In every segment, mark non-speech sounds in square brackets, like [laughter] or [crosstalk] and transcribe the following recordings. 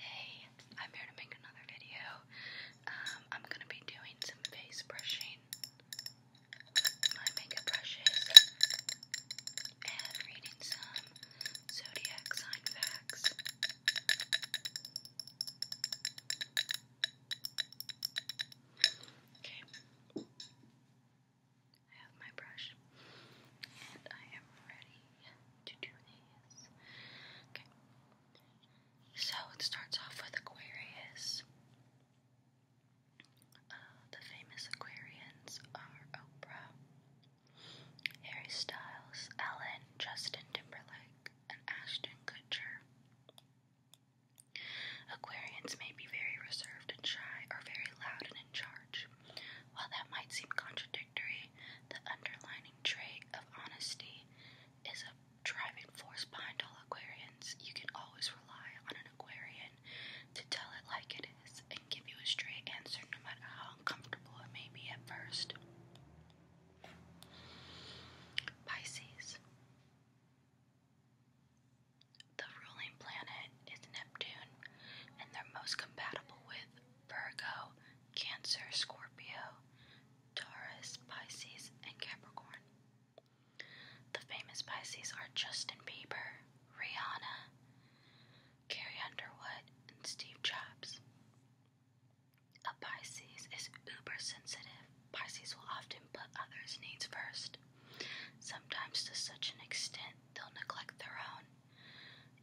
Hey, I'm here to make another video. Um, I'm gonna be doing some face brushing, my makeup brushes, and reading some zodiac sign facts. Okay, I have my brush, and I am ready to do these. Okay. So it starts off with Aquarius. Uh, the famous Aquarians are Oprah, Harry Styles, Ellen, Justin Timberlake, and Ashton Kutcher. Aquarians may be very reserved and shy, or very loud and in charge. While that might seem contradictory, the underlying trait of honesty is a driving force behind all Aquarians. You can always rely on an Aquarian to tell it like it is and give you a straight answer no matter how uncomfortable it may be at first. Pisces. The ruling planet is Neptune, and they're most compatible with Virgo, Cancer, Scorpio, Taurus, Pisces, and Capricorn. The famous Pisces are Justin Bieber, Rihanna, Carrie Underwood, and Steve Jobs. A Pisces is uber sensitive. Pisces will often put others' needs first, sometimes to such an extent they'll neglect their own.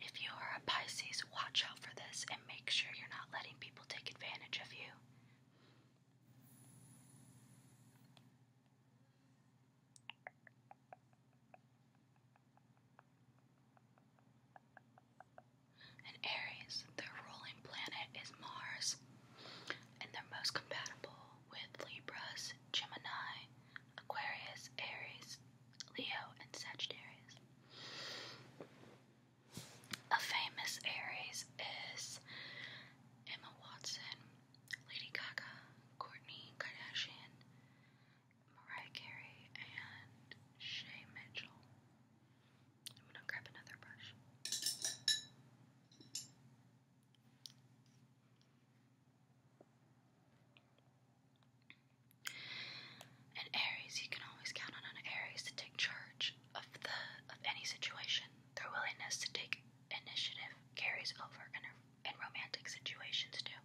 If you are a Pisces, watch out for this and make sure you're not letting people take advantage of you. And Aries, their ruling planet is Mars, and they're most compatible with Libras, Gemini, Aquarius, Aries, Leo, and Sagittarius. A famous Aries is Emma Watson, Lady Gaga, Courtney Kardashian, Mariah Carey, and Shay Mitchell. I'm gonna grab another brush. An Aries, you can always count on an Aries to take charge of the of any situation. Their willingness to take initiative carries over in, in romantic situations too.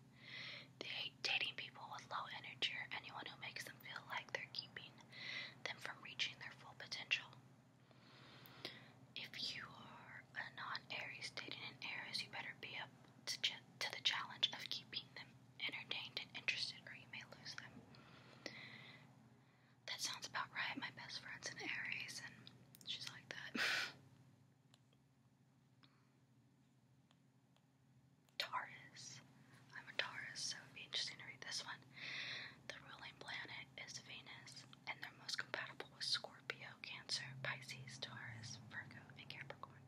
They hate dating people with low energy or anyone who makes them feel like they're keeping them from reaching their full potential. If you are a non-Aries dating an Aries, you better be up to, the challenge of keeping them entertained and interested, or you may lose them. That sounds about right. My best friend's an Aries, and she's like that. [laughs] Taurus. I'm a Taurus, so it'd be interesting to read this one. The ruling planet is Venus, and they're most compatible with Scorpio, Cancer, Pisces, Taurus, Virgo, and Capricorn.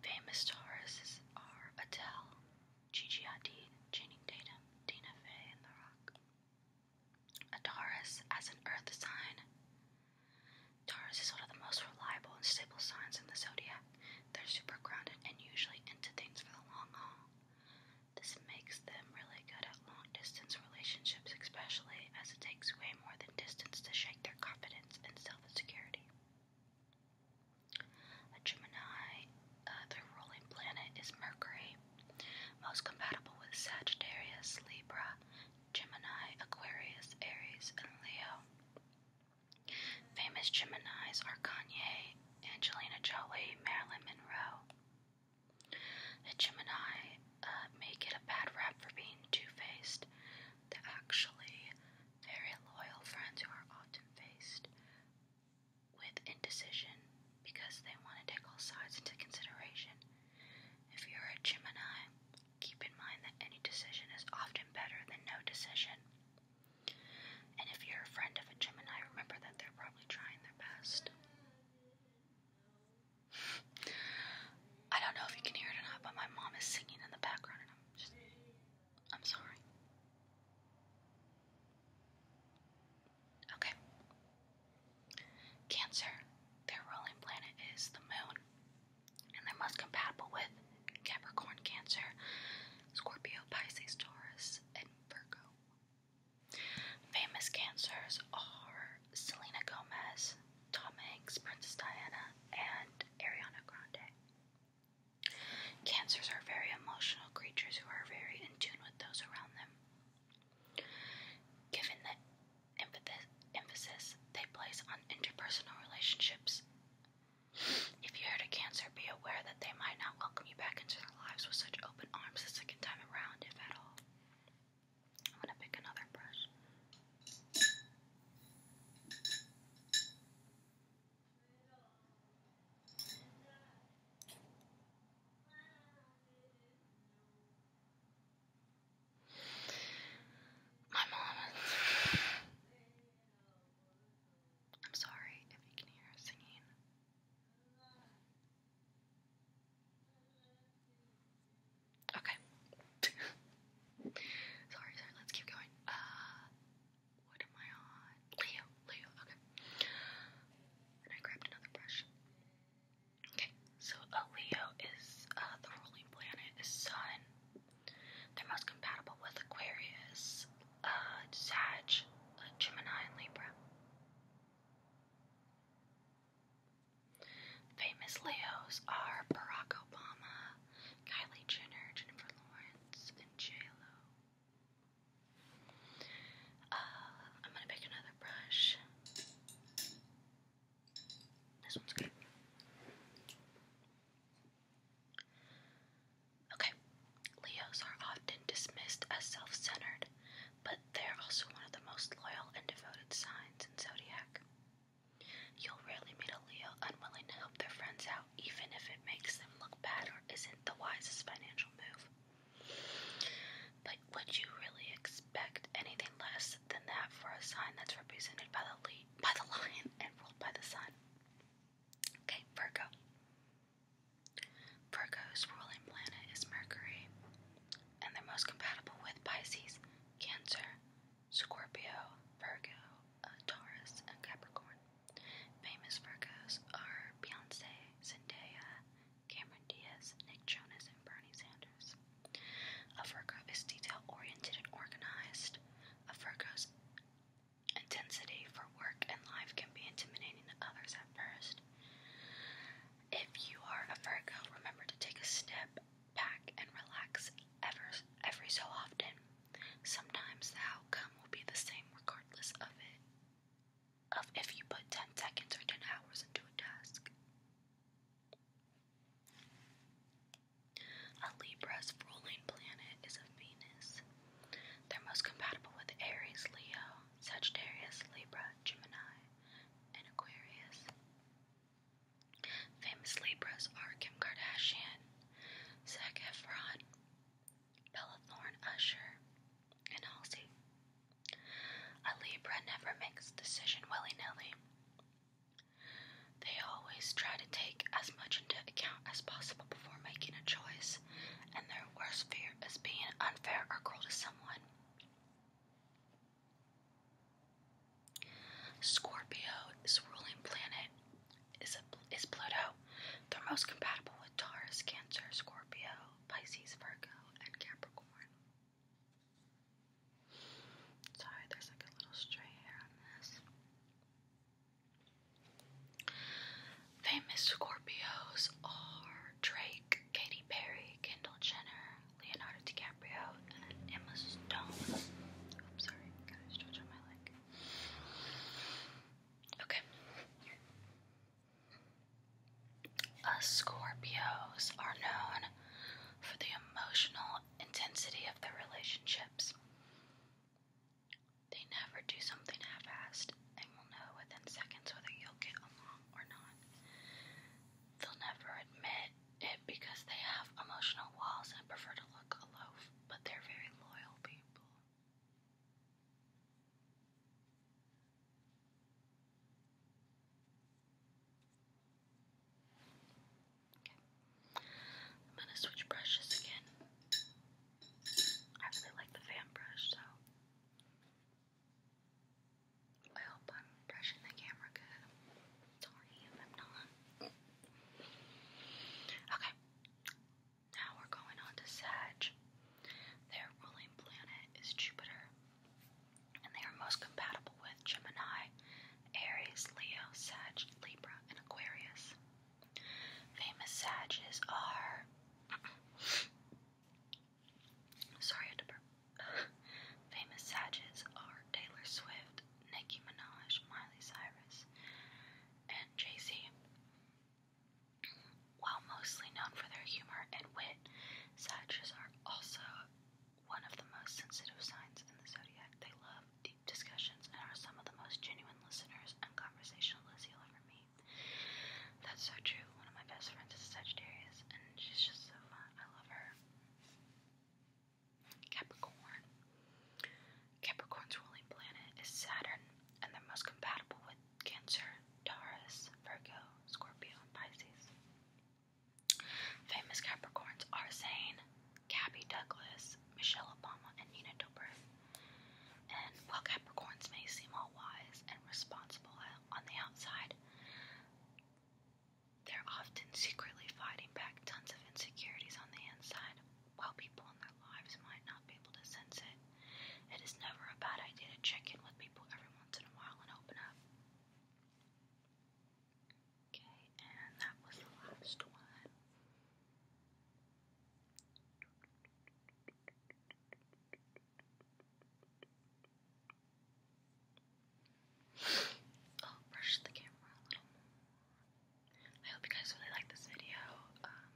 Famous stars are Adele, Gigi Hadid, Channing Tatum, Tina Fey, and The Rock. A Taurus as an earth sign. Taurus is one of the most reliable and stable signs in the zodiac. They're super grounded and usually into things for the long haul. This makes them really good at long distance relationships, especially as it takes way more than distance to shake their confidence and self myself security. A Gemini, uh, their ruling planet is Mercury, most compatible with Sagittarius, Libra, Gemini, Aquarius, Aries, and Leo. Famous Geminis are Kanye, Angelina Jolie, Marilyn Monroe. A Gemini uh, may get a bad rap for being two faced. They're actually very loyal friends who are often faced with indecision because they want to take all sides into consideration. If you're a Gemini, keep in mind that any decision is often better than no decision. And if you're a friend of a Gemini, remember that they're probably trying their best. I don't know if you can hear it or not, but my mom is singing in the background, and I'm just. I'm sorry. Okay. Cancer, their ruling planet is the moon, and they're most compatible with Capricorn, Cancer, Scorpio, Pisces, Taurus, and Virgo. Famous Cancers are Selena Gomez, Tom Hanks, Princess Diana, and Ariana Grande. Cancers are very emotional creatures who are very in tune with those around them. Given the emphasis they place on interpersonal relationships, if you're a Cancer, be aware that they might not welcome you back into their lives with such open arms the second time around, if at all. I'm gonna pick another brush. My mom. I'm sorry if you can hear singing. Okay. [laughs] sorry, sorry, let's keep going. Uh what am I on? Leo, Leo, okay. And I grabbed another brush. Okay, so a uh, Leo is uh the ruling planet is Sun. They're most compatible with Aquarius, uh Sag, uh, Gemini, and Libra. Famous Leos are Barack Obama, Kylie Jenner, Jennifer Lawrence, and j uh, I'm gonna pick another brush. This one's good. Okay, Leos are often dismissed as self centered, but they're also one of the most loyal and devoted signs in zodiac. You'll rarely meet a Leo unwilling to help their friends out, even if it makes them look bad or isn't the wisest financial move. But would you really expect anything less than that for a sign that's represented by the, by the lion and ruled by the sun? Okay, Virgo. Virgo's ruling planet is Mercury, and they're most compatible with Pisces, Cancer, Scorpio, Virgo, uh, Taurus, and Capricorn. Famous Virgos are Beyonce, Zendaya, Cameron Diaz, Nick Jonas, and Bernie Sanders. A Virgo is detail oriented and organized. A Virgo's intensity for work and life can be intimidating to others at first. If you are a Virgo, remember to take a step back and relax ever, every so often. Sometimes the outcome will be the same regardless of it, of if you put 10 seconds or 10 hours into a task. A Libra's ruling planet is a Venus. They're most compatible with Aries, Leo, Sagittarius, Libra, Gemini, and Aquarius. Famous Libras are Kim Kardashian, Zac Efron, Bella Thorne Usher, and Halsey. A Libra never makes a decision willy-nilly. They always try to take as much into account as possible before making a choice, and their worst fear is being unfair or cruel to someone. Scorpio ruling planet is is Pluto. They're most compatible with Taurus, Cancer, Scorpio, Pisces, Virgo, and Capricorn. Sorry, there's like a little stray hair on this. Famous Scorpios are Drake, Katy Perry, Kendall Jenner, Leonardo DiCaprio, and Emma Stone. Oops, sorry, got a stretch on my leg. Okay. Us uh, Scorpios are known for the emotional intensity of their relationships. They never do something half-assed and will know within seconds whether you'll get along or not. They'll never admit it because they have emotional walls and prefer to look aloof, but they're very loyal people. Okay. I'm gonna switch brushes again. I really like the fan brush, so I hope I'm brushing the camera good. Sorry if I'm not. Okay. Now we're going on to Sag. Their ruling planet is Jupiter, and they are most compatible with Gemini, Aries, Leo, Sag, Libra, and Aquarius. Famous Sages are. [coughs] Sorry, I had to burp. [laughs] Famous Sagittars are Taylor Swift, Nicki Minaj, Miley Cyrus, and Jay-Z. While mostly known for their humor and wit, Sagittarius are also one of the most sensitive signs in the zodiac. They love deep discussions and are some of the most genuine listeners and conversationalists you'll ever meet. That's so true. One of my best friends is a Sagittarius, and she's just so fun. I love her. Capricorn. Capricorn's ruling planet is Saturn, and they're most compatible with Cancer, Taurus, Virgo, Scorpio, and Pisces. Famous Capricorns are Zane, Gabby Douglas, Michelle Obama, and Nina Dobrev. And while Capricorns may seem all wise and responsible on the outside, they're often secretly fighting back tons of insecurities on the inside, while people in their lives might not be able to sense it. It is never a bad idea to check in with people every once in a while and open up. Okay, and that was the last one. I'll oh, brush the camera a little more. I hope you guys really like this video. Um,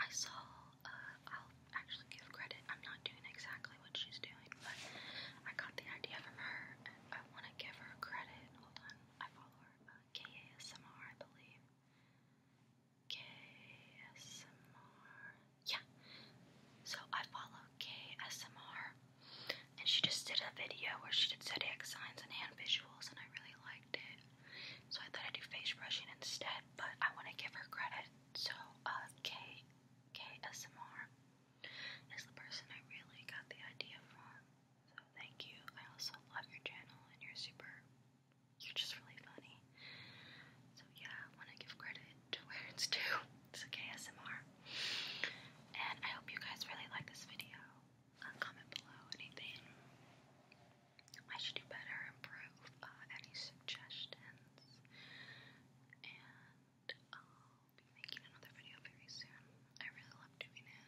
I saw, uh, I'll actually give credit. I'm not doing exactly what she's doing, but I got the idea from her. And I want to give her credit. Hold on, I follow her. Uh, KASMR, I believe. KASMR yeah. So I follow KSMR, and she just did a video where she did zodiac signs and hand visuals, and I really liked it. So I thought I'd do face brushing instead, but I want to give her credit. So uh, K KSMR is the person I really got the idea from. So thank you. I also love your channel, and you're super. You're just really funny. So yeah, I want to give credit to where it's It's a KSMR. And I hope you guys really like this video. Uh, comment below anything I should do better, improve, uh, any suggestions. And I'll be making another video very soon. I really love doing it.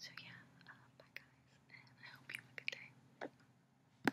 So yeah, uh, bye guys, and I hope you have a good day.